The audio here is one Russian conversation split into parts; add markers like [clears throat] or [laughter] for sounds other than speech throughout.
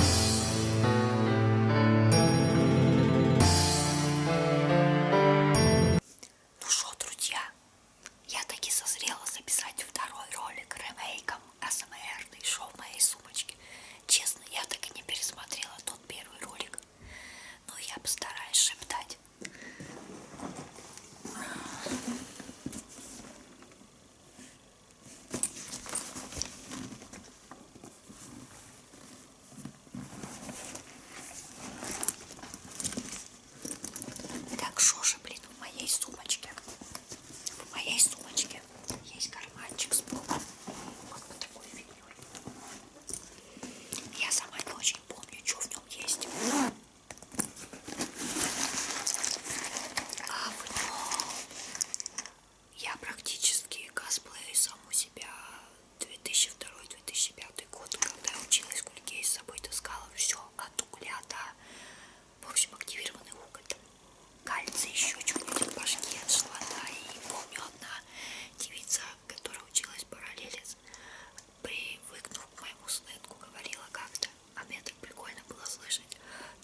Ну что, друзья, я таки созрела записать второй ролик ремейком АСМР шоу в моей сумочке. Честно, я так и не пересмотрела тот первый ролик, но я постараюсь шептать. Так, шоши, блин, в моей сумочке. В моей сумочке есть карманчик с полом. Вот вот такой фигнёй. Я сама не очень помню, что в нем есть. Говно. А, я практически косплею саму себя 2002-2005 год, когда я училась в Гульгей, с собой таскала все от угля до, в общем, активированный уголь, там, кальций, еще чуть-чуть башки отшла, да, и помню одна девица, которая училась в параллели, привыкнув к моему сынку, говорила как-то, а мне так прикольно было слышать,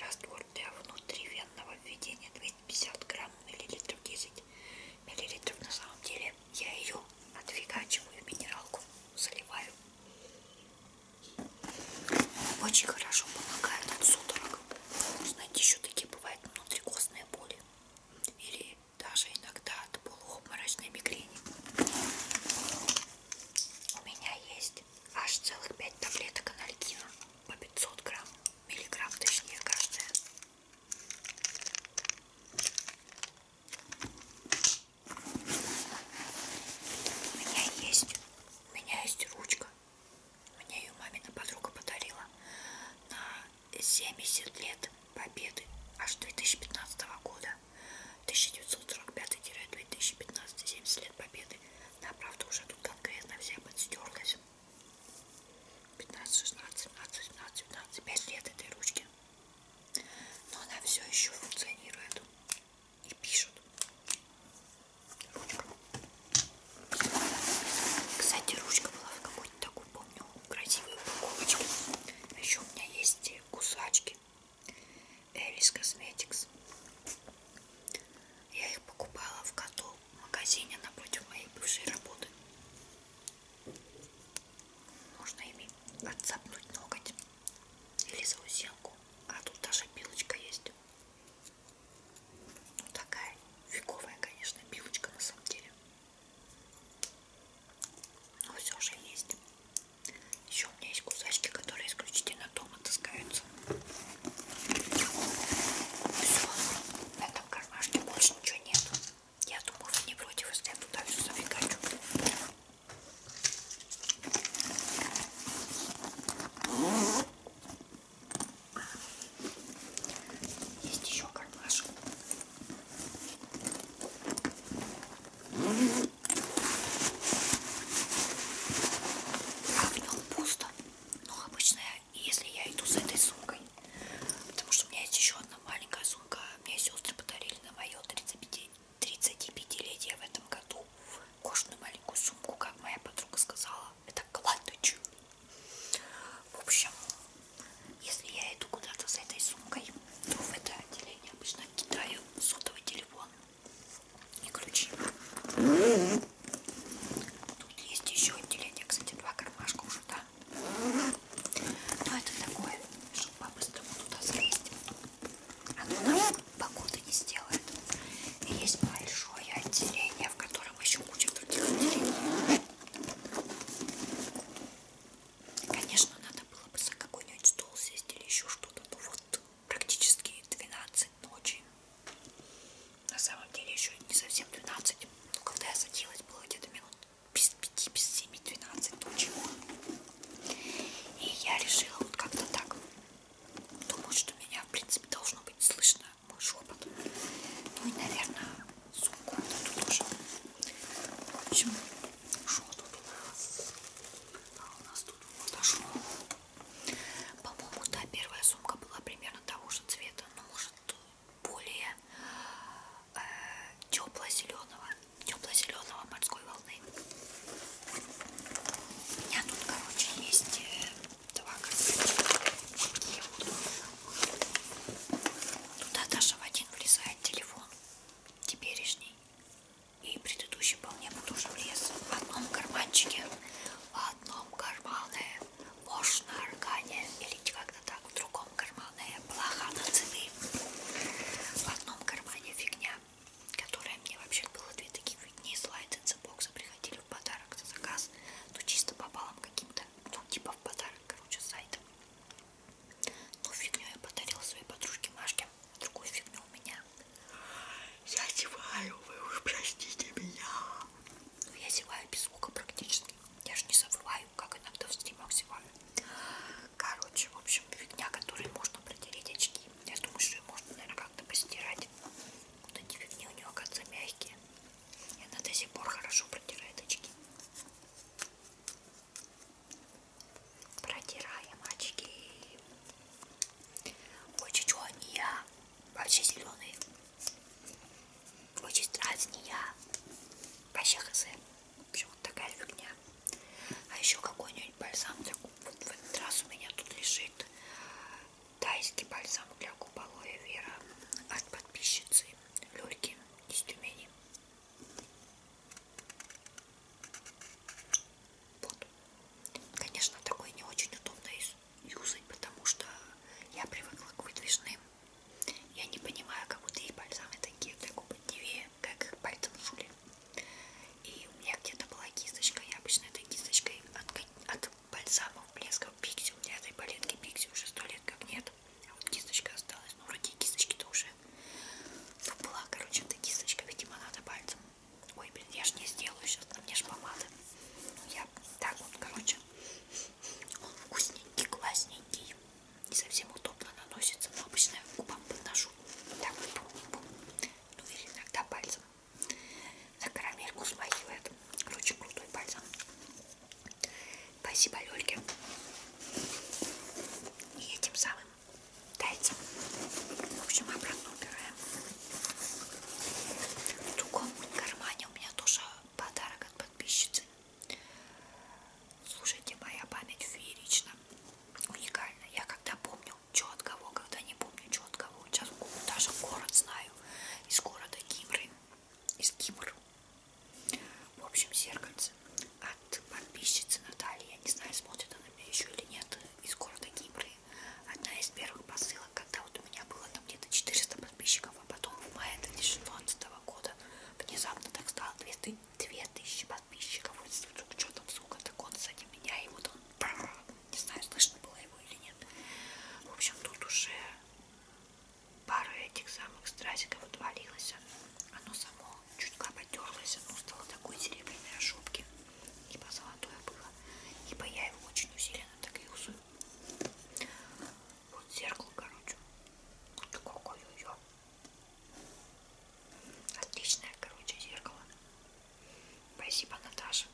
Раствор для внутривенного введения 250 грамм, миллилитров 10 миллилитров. На самом деле я ее отфигачиваю в минералку, заливаю. Очень хорошо помогает от судорог. Знаете, еще такие бывают внутрикостные боли. Или даже иногда от полуобморочной мигрени. У меня есть аж целых 5 таблеток анальгина по 500 грамм, миллиграмм точнее каждая. У меня есть, у меня есть ручка, мне ее мамина подруга подарила на 70 лет победы аж 2015 года. 1945-2015, 70 лет победы. Да, правда, уже тут конкретно вся подстерлась. 15, 16, 17, 17, 17, 5 лет этой ручки. Но она все еще функционирует и пишет. Ручка. Кстати, ручка была в какой-то такой, помню, красивой упаковочке. А еще у меня есть кусачки Элис Косметикс. Я их покупала в коту в магазине напротив моей бывшей работы. Можно ими отцапнуть ноготь или заусенку. А тут даже пилочка есть. Ну, такая фиговая, конечно, пилочка на самом деле. Но все же есть. Еще у меня есть кусачки, которые исключительно дома таскаются. Все, на этом кармашке больше ничего нет. Я думаю, вы не против, если я туда все запекачу. Есть еще кармашек. Mm -hmm. А в нем пусто. Но ну, обычно, если я иду с этой сумкой, потому что у меня есть еще одна маленькая сумка, мне сестры подарили на мое 35-летие в этом году кожаную маленькую сумку, как моя подруга сказала. Это кладочек. В общем, если я иду куда-то с этой сумкой, то в это отделение обычно кидаю сотовый телефон и ключи. Тут есть еще отделение, кстати, два кармашка уже, да. Но это такое, чтобы по-быстрому туда залезть. Оно нам погоды не сделает. И есть большое отделение, в котором еще куча других отделений. Конечно, надо было бы за какой-нибудь стол сесть или еще что-то, но ну вот практически 12 ночи. На самом деле еще не совсем 12. Но когда я садилась, было где-то минут без 5, без 7, 12 ночи. И я решила вот как-то так. Думаю, что меня, в принципе, должно быть слышно мой шепот. Ну и, наверное, сумку вот эту тоже. В общем, шел тут у нас. А у нас тут подошел. По-моему, да, первая сумка была примерно того же цвета, но может более э, тепло-зеленого, тепло-зеленого морской волны. У меня тут, короче, есть э, два карточки. Туда даже в один влезает телефон теперешний и предыдущий вполне потуже вес в одном карманчике, в одном кармане вож на органе или как-то так, в другом кармане плоха на цены, в одном кармане фигня, которая мне вообще было две таких фигни, слайд из бокса приходили в подарок за заказ, ну чисто попалом каким-то, ну типа в подарок, короче, сайтом. Ну фигню я подарила своей подружке Машке на другую фигню у меня. Я зеваю, вы уж простите меня. Но ну, я зеваю без звука практически. Я же не забываю, как иногда в стримах зеваю. Короче, в общем, фигня, которой можно протереть очки. Я думаю, что ее можно, наверное, как-то постирать. Вот эти фигни у нее, оказывается, мягкие. И она до сих пор хорошо протирает очки. Протираем очки. Очень чего не я. Вообще зеленый. Очень не я. Вообще хз. В общем, вот такая фигня. А еще какой-нибудь бальзам для губ. Вот в этот раз у меня тут лежит тайский бальзам для губ Алоэ Вера от подписчицы Люльки из Тюмени. Вот. Конечно, такой не очень удобно юзать, потому что я привыкла к выдвижным. Я не понимаю, как будто их бальзамы такие для губ левее, как их пальцем жули. И у меня где-то была кисточка, я обычно этой кисточкой от, от бальзамов, блесков, пикси. У меня этой палетки пикси уже сто лет как нет. А вот кисточка осталась. Ну, вроде кисточки-то уже Тут была, короче, эта кисточка, видимо, надо пальцем. Ой, блин, я ж не сделаю сейчас, на мне ж помада. Я так вот, короче, он вкусненький, классненький. Не совсем удобно наносится, но обычно я губам подношу. Так вот, бум -бум. ну или иногда пальцем. На карамельку смахивает. Короче, крутой пальцем. Спасибо, Лёльке. И этим самым Дайте. В общем, обратно убираем. В другом кармане у меня тоже подарок от подписчицы. Слушайте, моя память феерична, уникальна. Я когда помню, что от кого, когда не помню, что от кого. Сейчас даже город знаю. Из города Кимры. Из Кимр. В общем, зеркальце от подписчицы Натальи, я не знаю, смотрит она меня еще или нет, из города Кипры. Одна из первых посылок, когда вот у меня было там где-то 400 подписчиков, а потом в мае 2016 года внезапно так стало 200, 2000 подписчиков. Вот что там, сука, так он сзади меня, и вот он, не знаю, слышно было его или нет. В общем, тут уже пара этих самых стразиков отвалилась. Оно само чутка потерлась, оно стало такой серебряной ошибки. Ибо золотое было. Ибо я его очень усиленно так и усую. Вот зеркало, короче. Вот такое ее. Отличное, короче, зеркало. Спасибо, Наташа,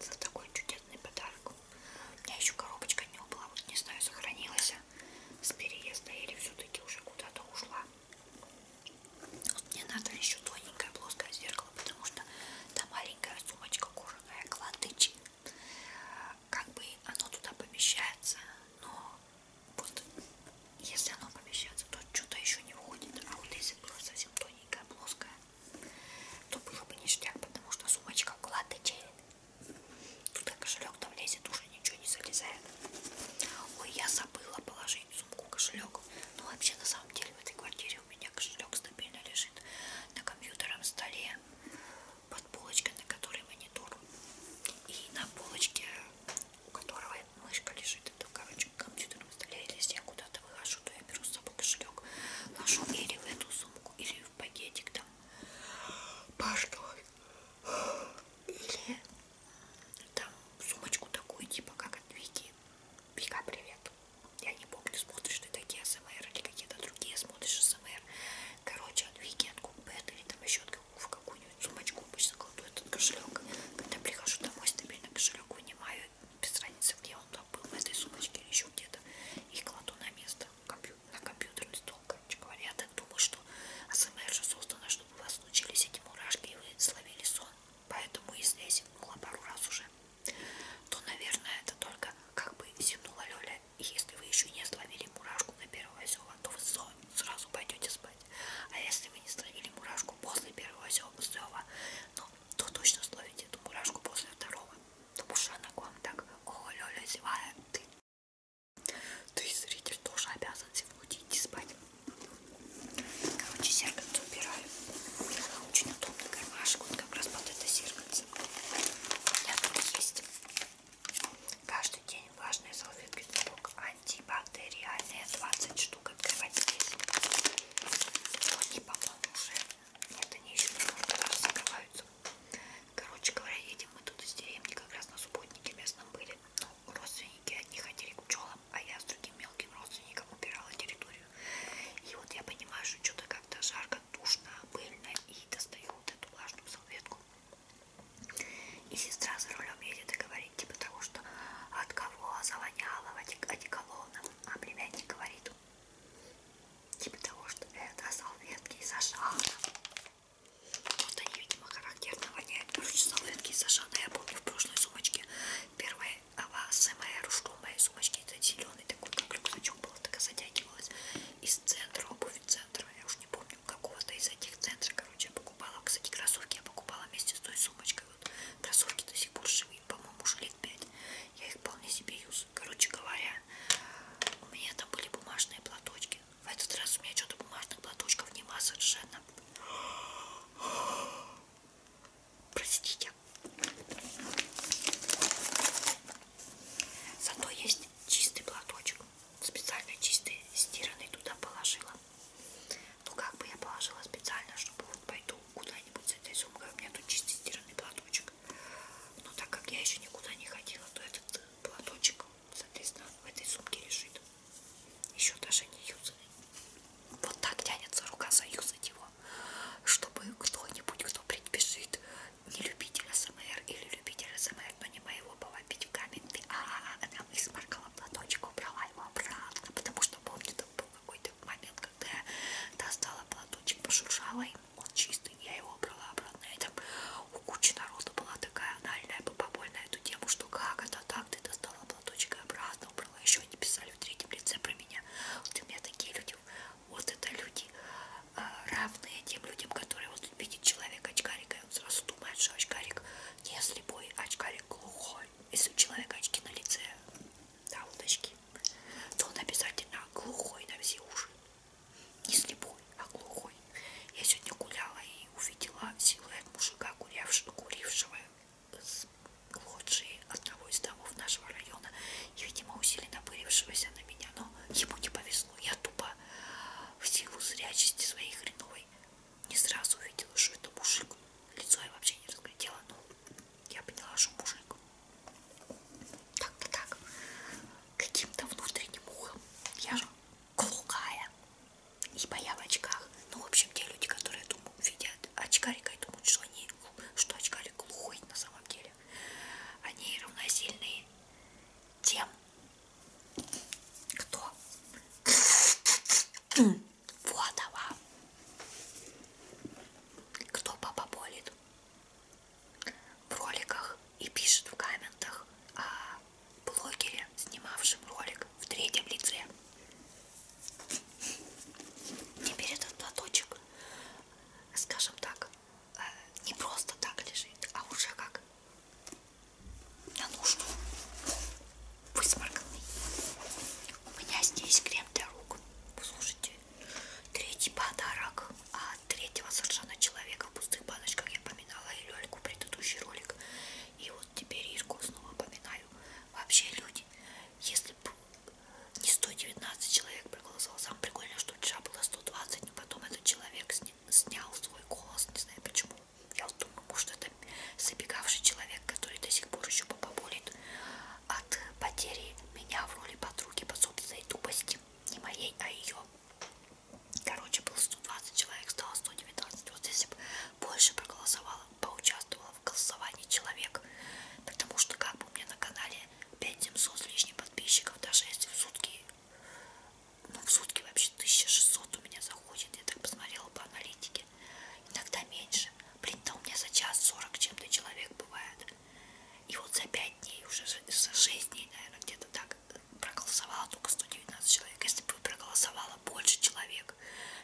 за такой чудесный подарок. У меня еще коробочка не упала, вот не знаю, сохранилась с переезда или все-таки уже куда-то ушла. Мне надо еще тоненькое плоское зеркало, потому что та маленькая сумочка кожаная кладыч. Как бы оно туда помещается, но вот если оно помещается, то что-то еще не входит. А вот если было совсем тоненькое, плоское, то было бы ништяк, потому что сумочка кладычает. Туда кошелек там лезет, уже ничего не залезает. Ой, я забыла положить в сумку кошелек. Ну вообще на самом деле в этой квартире у меня кошелек стабильно лежит на компьютерном столе под полочкой, на которой монитор. И на полочке, у которого мышка лежит, это короче на компьютерном столе. Или если я куда-то выхожу, то я беру с собой кошелек, ложу или в эту сумку, или в пакетик там. Пашка. Или там сумочку такую, типа как от Вики. Вика, привет. Я не помню, смотришь ты такие СМР или какие-то другие, смотришь СМР. Короче, от Вики, от Купет или там еще в какую-нибудь сумочку обычно кладу этот кошелек. Когда прихожу домой, стабильно кошелек вынимаю, без разницы, где он там был, в этой сумочке или еще где-то, и кладу на место, на компьютерный стол, короче говоря, я так думаю, что АСМР же создана, чтобы у вас случились эти мурашки и вы словили сон. Поэтому если я зевнула пару раз уже, то, наверное, это только как бы зевнула Лёля. И если вы еще не словили мурашку на первого зева, то вы сразу пойдете спать. А если вы не словили мурашку после первого зева, ну, то точно словите эту мурашку после второго. Потому что она к вам так, о, Лёля, зевая, ты ты, зритель, тоже обязан сегодня идти спать. Короче, зеркальце убираю. Очень удобный кармашек, он как раз под это зеркальце. У меня тут есть каждый день влажные салфетки сок антибактериальные 20 штук открывать здесь. Они, по-моему, уже нет, они еще не закрываются. Короче говоря, едем мы тут из деревни, как раз на субботнике местном были. Ну, родственники одни ходили к пчелам, а я с другим мелким родственником убирала территорию. И вот я понимаю, что что-то как-то жарко, душно, пыльно, и достаю вот эту влажную салфетку. И сестра за рулем едет и говорит, типа того, что от кого завоняло одеколоном, а племянник говорит, типа того, что это салфетки из Ашана. Вот они, видимо, характерно воняют. Короче, салфетки Сашана, я помню, в прошлой сумочке. Первая АСМР ушла в моей сумочке. Это зеленый такой, как рюкзачок был, так затягивалась. Из центра, обувь центра, я уж не помню, какого-то из этих центров, короче, я покупала. Кстати, кроссовки я покупала вместе с той сумочкой. Вот кроссовки до сих пор живые, по-моему, уже лет 5. Я их вполне себе юзаю. Короче говоря, у меня там были бумажные платочки. В этот раз у меня что-то бумажных платочков нема совершенно. Простите. Зато есть чистый платочек. Специально чистый, стиранный туда положила. Ну как бы я положила специально, чтобы вот пойду куда-нибудь с этой сумкой. У меня тут чистый стиранный платочек. Но так как я еще никуда не ходила, то этот платочек соответственно, в этой сумке лежит. Еще даже не юзанный. Вот так тянется рука заюзать его, чтобы кто-нибудь, кто предпишет не любитель СМР или любитель СМР, но не моего была пить в каменке, а она испаркала платочек, убрала его обратно, потому что помню, там был какой-то момент, когда я достала платочек, пошуршала им, он чист, простым, я его брала обратно. И там у кучи народа была такая анальная попоболь на эту тему, что как это так, ты достала платочек и обратно убрала. Еще они писали в третьем лице про меня. Вот у меня такие люди, вот это люди а, равные тем людям, которые вот видит человек очкарика, и он сразу думает, что очкарик не слепой, а очкарик глухой. Если у человека очки на лице, да, вот очки, то он обязательно глухой на все уши. Не слепой, а глухой. Я сегодня гуляла и увидела силуэт мужика, курявшего, курившего с лоджии одного из домов нашего района и, видимо, усиленно пырившегося на меня. Но ему не повезло. Я тупо в силу зрячести своей хреновой не сразу увидела, что это мужик. Лицо я вообще не разглядела, но я поняла, что мужик. Как-то так. Каким-то внутренним ухом. Я же глухая ибо я в очках ну в общем те люди которые думают видят очкарика и думают что они что очкарик глухой на самом деле они равносильны тем кто [clears throat] вот она кто папа болит в роликах и пишет в комментах о блогере, снимавшем ролик в третьем лице. Теперь этот платочек, скажем так, э, не просто так лежит, а уже как на нужду высморканный. У меня здесь крем для рук. Слушайте, третий подарок третьего совершенно человека в пустых баночках я поминала и Лёльку предыдущий ролик. И вот теперь Ирку снова поминаю. Вообще, люди, если бы не 119 человек проголосовал, самое прикольное, что вчера было 120, но потом этот человек сня снял свой голос, не знаю почему. Я вот думаю, может это забегавший человек, который до сих пор еще поболит от потери меня в роли подруги по собственной тупости. Не моей, а ее. Короче, был 120 человек, стало 119. Вот если бы больше проголосовало, поучаствовало в голосовании человек, потому что как бы у меня на канале 5700 с лишним подписчиков, даже если в сутки, ну в сутки вообще 1600 у меня заходит, я так посмотрела по аналитике, иногда меньше. Блин, да у меня за час 40 чем-то человек бывает. И вот за 5 дней, уже за 6 дней, наверное, где-то так, проголосовало только 119 человек. Если бы проголосовало больше человек,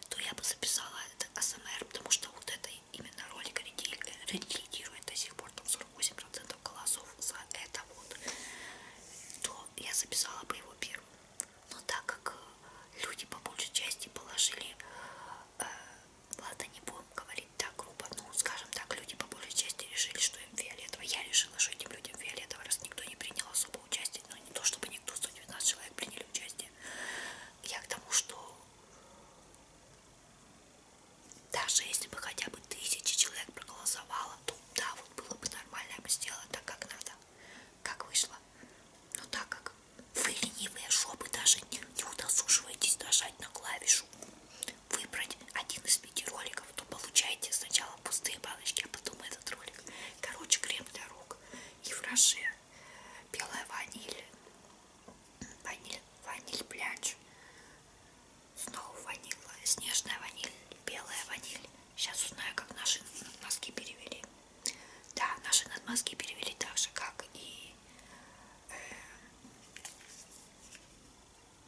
то я бы записала это АСМР, потому что вот это именно ролик редактирует до сих пор там 48% голосов за это вот, то я записала бы его первым. Но так как э, люди по большей части положили, э, ладно, не будем говорить, говорить так грубо, ну, скажем так, люди по большей части решили, что им фиолетово. Я решила, что этим людям фиолетово, раз никто не принял особо участие, но ну, не то, чтобы никто, 119 человек приняли участие. Я к тому, что даже если бы хотя бы тысячи человек проголосовало, то да, вот было бы нормально, я бы сделала так, как надо, как вышло. Но так как вы ленивые жопы даже не, не удосуживаетесь нажать на клавишу выбрать один из пяти роликов, то получаете сначала пустые баночки, а потом этот ролик. Короче, крем для рук. Евроше. Белая ваниль. Ваниль, ваниль пляж. Снова ваниль. Снежная ваниль. Белая ваниль. Сейчас узнаю, как наши носки перевели. Да, наши надмазки перевели так же, как и э,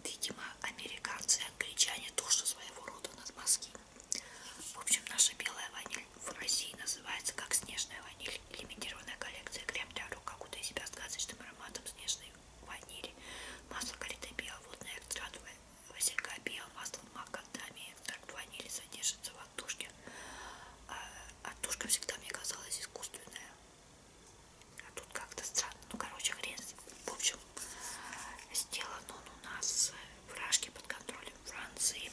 Видимо, американцы и англичане тоже своего рода надмазки. В общем, наша белая ваниль в России называется как снежная ваниль. Лимитированная коллекция крем для рук, окутая а себя сказочным ароматом снежной ванили. Масло карите биоводное, экстракт василька биомасло макадами, экстракт ванили содержится в отдушке. А, отдушка всегда мне казалась искусственная. А тут как-то странно. Ну, короче, хрен. В общем, сделан он у нас э, вражки под контролем Франции.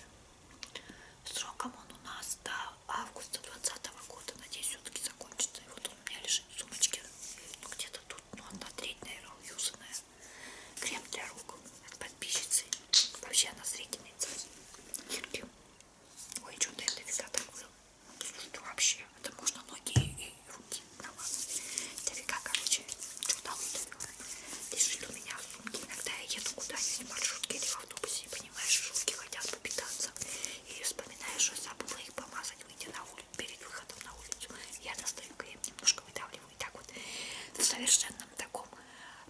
Сроком он у нас до августа 2020 года. Надеюсь, все-таки закончится. И вот он у меня лежит в сумочке. Ну, где-то тут, ну, одна треть, наверное, уюзанная. Крем для рук от подписчицы. Вообще она зрительница. Ой, что-то я нафига так был. Что вообще? Это можно ноги и руки. Да ладно. Дофига, короче, что-то удавила. Лежит у меня в сумке. Иногда я еду куда-нибудь в маршрутке или в автобусе, и, понимаешь, шутки хотят попитаться. И вспоминаешь, что забыла их помазать, выйти на улицу, перед выходом на улицу. Я достаю крем, немножко выдавливаю. И так вот в совершенном таком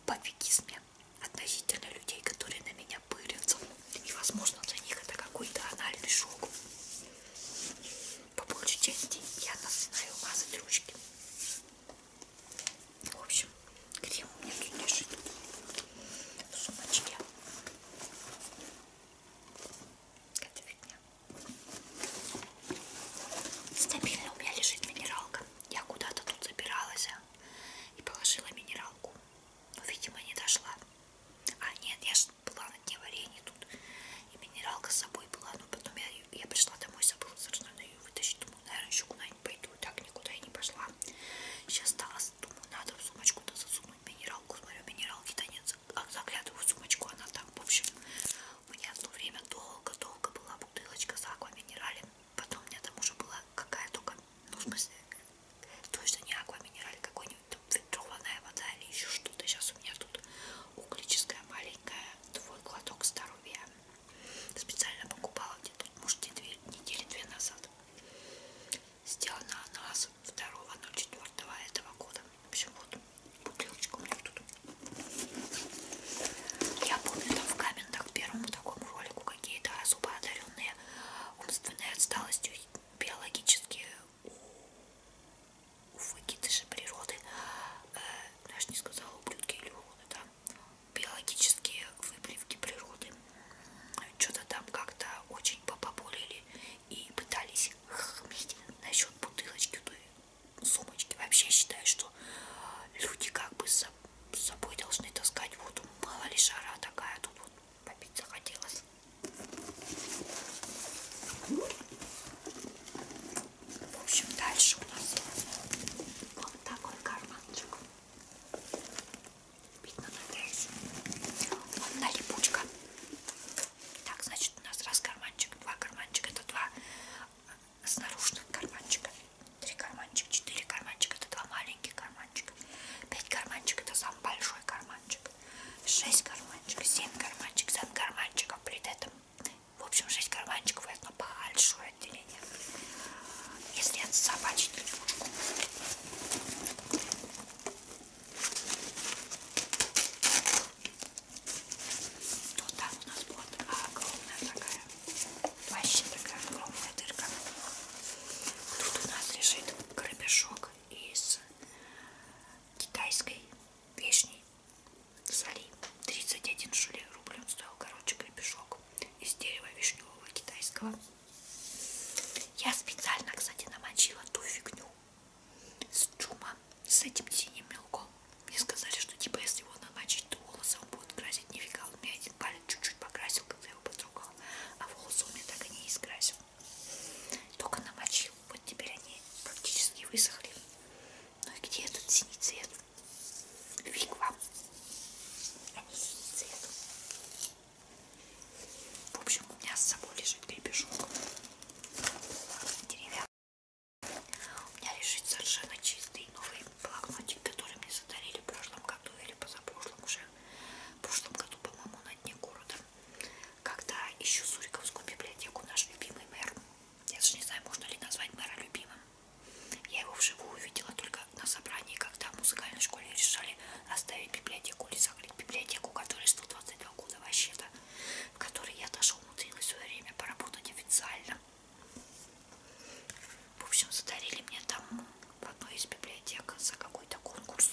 пофигизме относительно людей, которые на меня пырятся. И, возможно, для них это какой-то анальный шок. По большей части я начинаю мазать ручки. В общем, крем у меня тут лежит в сумочке. Это фигня. Стабильно у меня лежит минералка. Я куда-то тут забиралась а, и положила минералку. Но, ну, видимо, не дошла. А, нет, я же была на дне варенья тут. И минералка с собой была. Но потом я, я пришла домой, забыла совершенно ну, ее вытащить. Думаю, наверное, еще куда-нибудь пойду. И так никуда я не пошла. Сейчас осталось. Думаю, надо в сумочку-то засунуть минералку. Смотрю, минералки-то нет. А, заглядываю в сумочку, она там, в общем. У меня в то время долго-долго была бутылочка с аква минералем. Потом у меня там уже была какая только, ну, в смысле, Точно не аква минераль, какой-нибудь ветровая вода или еще что-то. Сейчас у меня тут углическая маленькая твой глоток здоровья. Специально покупала где-то, может, недели, недели две назад. Сделана она с 2.04 этого года. В общем, вот бутылочка у меня тут. Я помню там в комментах первому такому ролику какие-то особо одаренные умственной отсталостью биологически у выкидышей природы, я э, же не сказала ублюдки или уроды, да, биологические выплевки природы что-то там как-то очень попоболели и пытались хмить насчет бутылочки той сумочки. Вообще считаю, что люди как бы с собой должны таскать воду. Мало ли жара такая тут вот попить захотелось. В общем, дальше у нас вот такой карманчик. Видно, надеюсь. Одна липучка. Так, значит, у нас раз карманчик, два карманчика. Это два э, снаружных карманчика. Три карманчика, четыре карманчика. Это два маленьких карманчика карманчиков. 5 карманчиков это самый большой карманчик. 6 карманчиков, 7 карманчиков, 7 карманчиков при этом. В общем, 6 карманчиков и одно большое отделение. Если от собачьей тележку. То там у нас вот огромная такая, вообще такая огромная дырка. Тут у нас лежит гребешок из китайской вешней соли. 31 шуле рублем стоил, короче, гребешок из дерева вишневого китайского. Я специально, кстати, намочила ту фигню с чума, с этим синим мелком. Мне сказали, что типа если его намочить, то волосы он будет красить. Нифига, у меня один палец чуть-чуть покрасил, когда я его подругала, а волосы у меня так и не искрасил. Только намочил. Вот теперь они практически высохли. Ну и где этот синий цвет? Фиг вам. Они синий цвет. В общем, у меня с собой лежит гребешок. Деревянный. У меня лежит совершенно чистый новый блокнотик, который мне задарили в прошлом году или позапрошлом уже в прошлом году, по-моему, на дне города, когда еще Суриковскую библиотеку наш любимый мэр, я даже не знаю, можно ли назвать мэра любимым, я его вживую увидела только на собрании, когда в музыкальной школе решали оставить библиотеку или закрыть библиотеку, которой 122 года вообще-то, в которой я даже умудрилась в свое время поработать официально. В общем, задарили мне там в одной из библиотек за какой-то конкурс.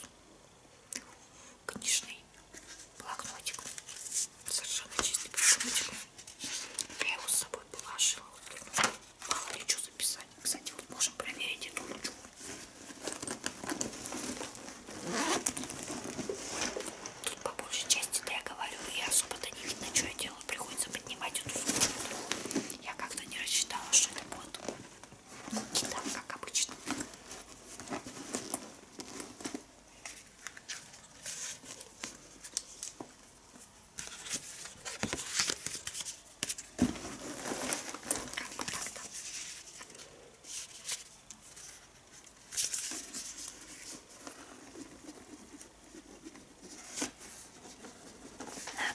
Книжный блокнотик. Совершенно чистый блокнотик. Я его с собой положила. Мало ли что записать. Кстати, вот можем проверить эту ручку. Тут по большей части, да я говорю, я особо-то не видно, что я делаю. Приходится поднимать эту сумку. Я как-то не рассчитала, что это будет да, как обычно. Как бы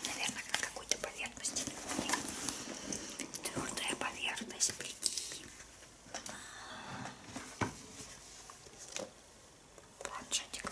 наверное, на какой-то поверхности. Твердая поверхность, прикинь. Планшетик.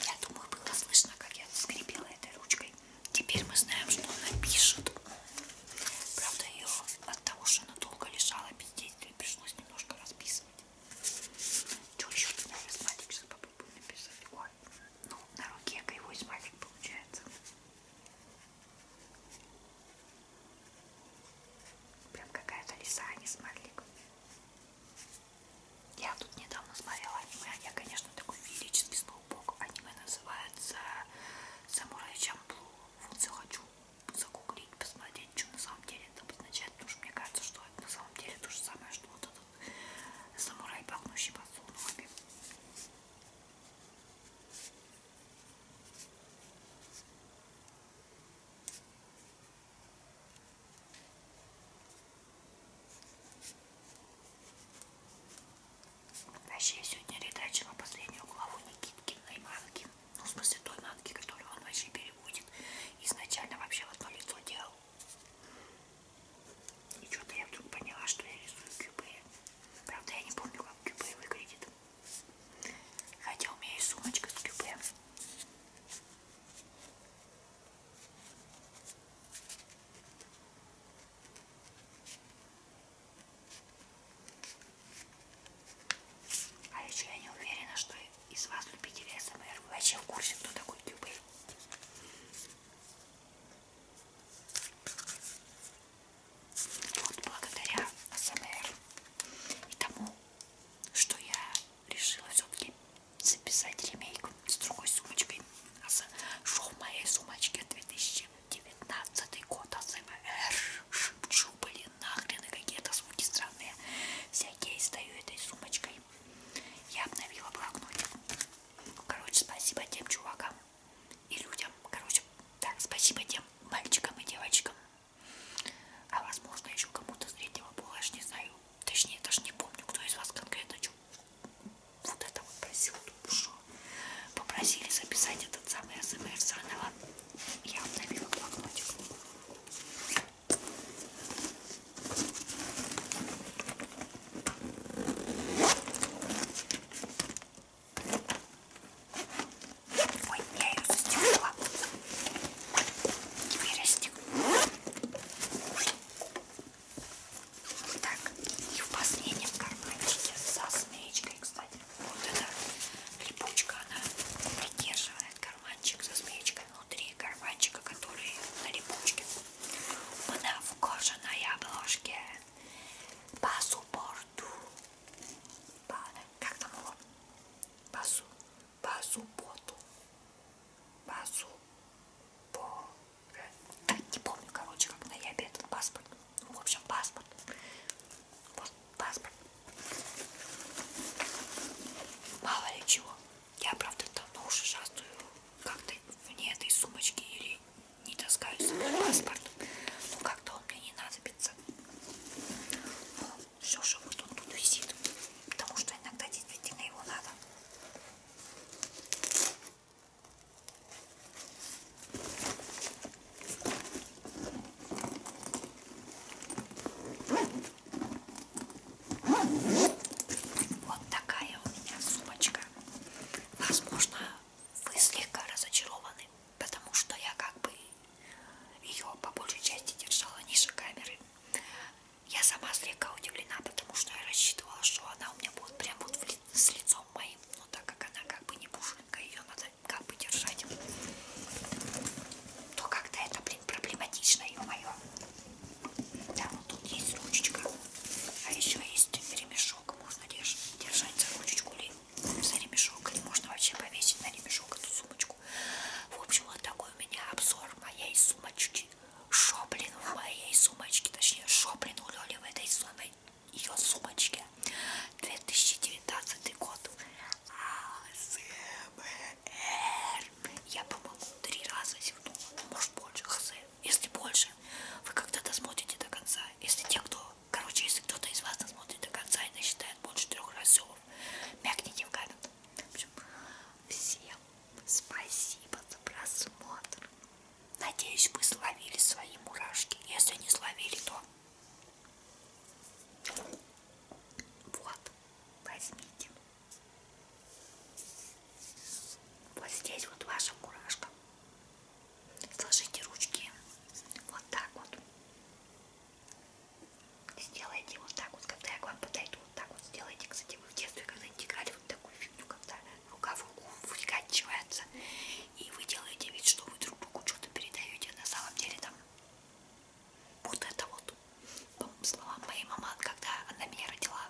Я думаю, было слышно, как я скрипела этой ручкой. Теперь мы знаем, что она пишет. Правда, ее от того, что она долго лежала без действия, пришлось немножко расписывать. Что еще ты, наверное, смайлик сейчас попробую написать? Ой, ну, на руке его смайлик получается. Прям какая-то лиса, а не смайлик. Я тут недавно смотрела аниме, а я, конечно, такой феерический сноубок. Аниме называется Самурай Чамплу. Вот все хочу загуглить, посмотреть, что на самом деле это обозначает, потому что мне кажется, что это на самом деле то же самое, что вот этот самурай, пахнущий подсолнухами. Вообще, сегодня редачила последнюю главу Никиткиной манки. Ну, в смысле, той манки, которую он вообще переводит. Изначально вообще в одно лицо делал. И что-то я вдруг поняла, что я рисую кюбы. Правда, я не помню, как кюбы выглядит. Хотя у меня есть сумочка с кюбе. А еще я не уверена, что из вас любителей СМР вы вообще в курсе, кто такой Кьюбей. Вот благодаря СМР и тому, что я решила все-таки записать ремейк с другой сумочкой. А Шел в моей сумочке 2019 год АСМР. Шепчу, блин, нахрен, и какие-то звуки странные. Всякие издаю этой сумочкой. Я обновила блокнотик. Короче, спасибо тем чувакам и людям. Короче, так, спасибо тем мальчикам и девочкам. А возможно еще кому-то среднего пола, я ж не знаю. Точнее, даже не помню, кто из вас конкретно что вот это вот просил душу. Попросили записать этот самый АСМР заново. Я обновила блокнотик. Ой, я ее застегнула. Теперь расстегну. Так, и в последнем карманчике со змеечкой, кстати, вот эта липучка, она придерживает карманчик со змеечкой внутри карманчика, который на липучке. Она в кожаной обложке по суппорту. По, как там его? По, су, по субботу базу по... не помню, короче, как на ябе этот паспорт. Ну, в общем, паспорт. Вот паспорт. Мало ли чего. Я, правда, давно уже шастую как-то вне этой сумочки или не таскаю с собой паспорт. Ну, как-то он мне не надобится. Ну, все же вот он тут висит. Потому что иногда действительно его надо. Вот такая у меня сумочка. Возможно, вы слегка разочарованы, потому что я как бы ее по большей части держала ниже камеры. Я сама слегка удивлена, потому что я рассчитывала, что она у меня будет прям вот ли, с лицом моим. Но так как она как бы не пушинка, ее надо как бы держать. То как-то это, блин, проблематично, ё-моё. Да, вот тут есть ручечка. А еще есть ремешок. Можно держ держать за ручечку или за ремешок. Или можно вообще повесить на ремешок эту сумочку. В общем, вот такой у меня обзор моей сумочки сумочки. Шоблин в моей сумочке, точнее, Шоблин у Лёли в этой сумой, ее сумочке. 2019 год. АСМР. Я, по-моему, три раза зевнула, ну, может больше, хз. Если больше, вы когда-то смотрите до конца. Если те, кто, короче, если кто-то из вас смотрит до конца и насчитает больше трех разов, мягните в камень. В общем, всем Спасибо за просмотр. Надеюсь, вы словили свои мурашки. Если не словили, то вот, возьмите. Вот здесь вот ваша мурашка. Сложите ручки вот так вот. Сделайте вот так вот, когда я к вам подойду. Вот так вот сделайте, кстати, вы в детстве, когда-нибудь играли вот такую фигню, когда рука в руку выкачивается, и вы делаете вид, что вы друг другу что-то передаете, а на самом деле там вот это вот, по словам моей мамы, когда она меня родила,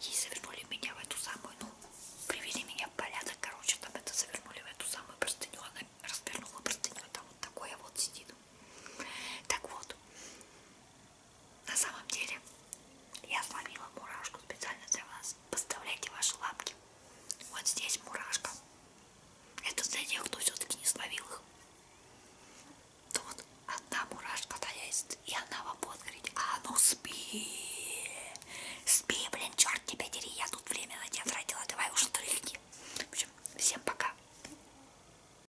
ей завернули меня в эту самую, ну, привели меня в порядок, короче, там это завернули в эту самую простыню, она развернула простыню, а там вот такое вот сидит. Так вот, на самом деле, я сломила мурашку специально для вас. Поставляйте ваши лапки. Вот здесь мурашка. Это для тех, кто все-таки не словил их. Тут одна мурашка есть, и она вам будет говорить, а ну спи. Спи, блин, черт тебя дери, я тут время на тебя тратила, давай уже дрыхни. В общем, всем пока.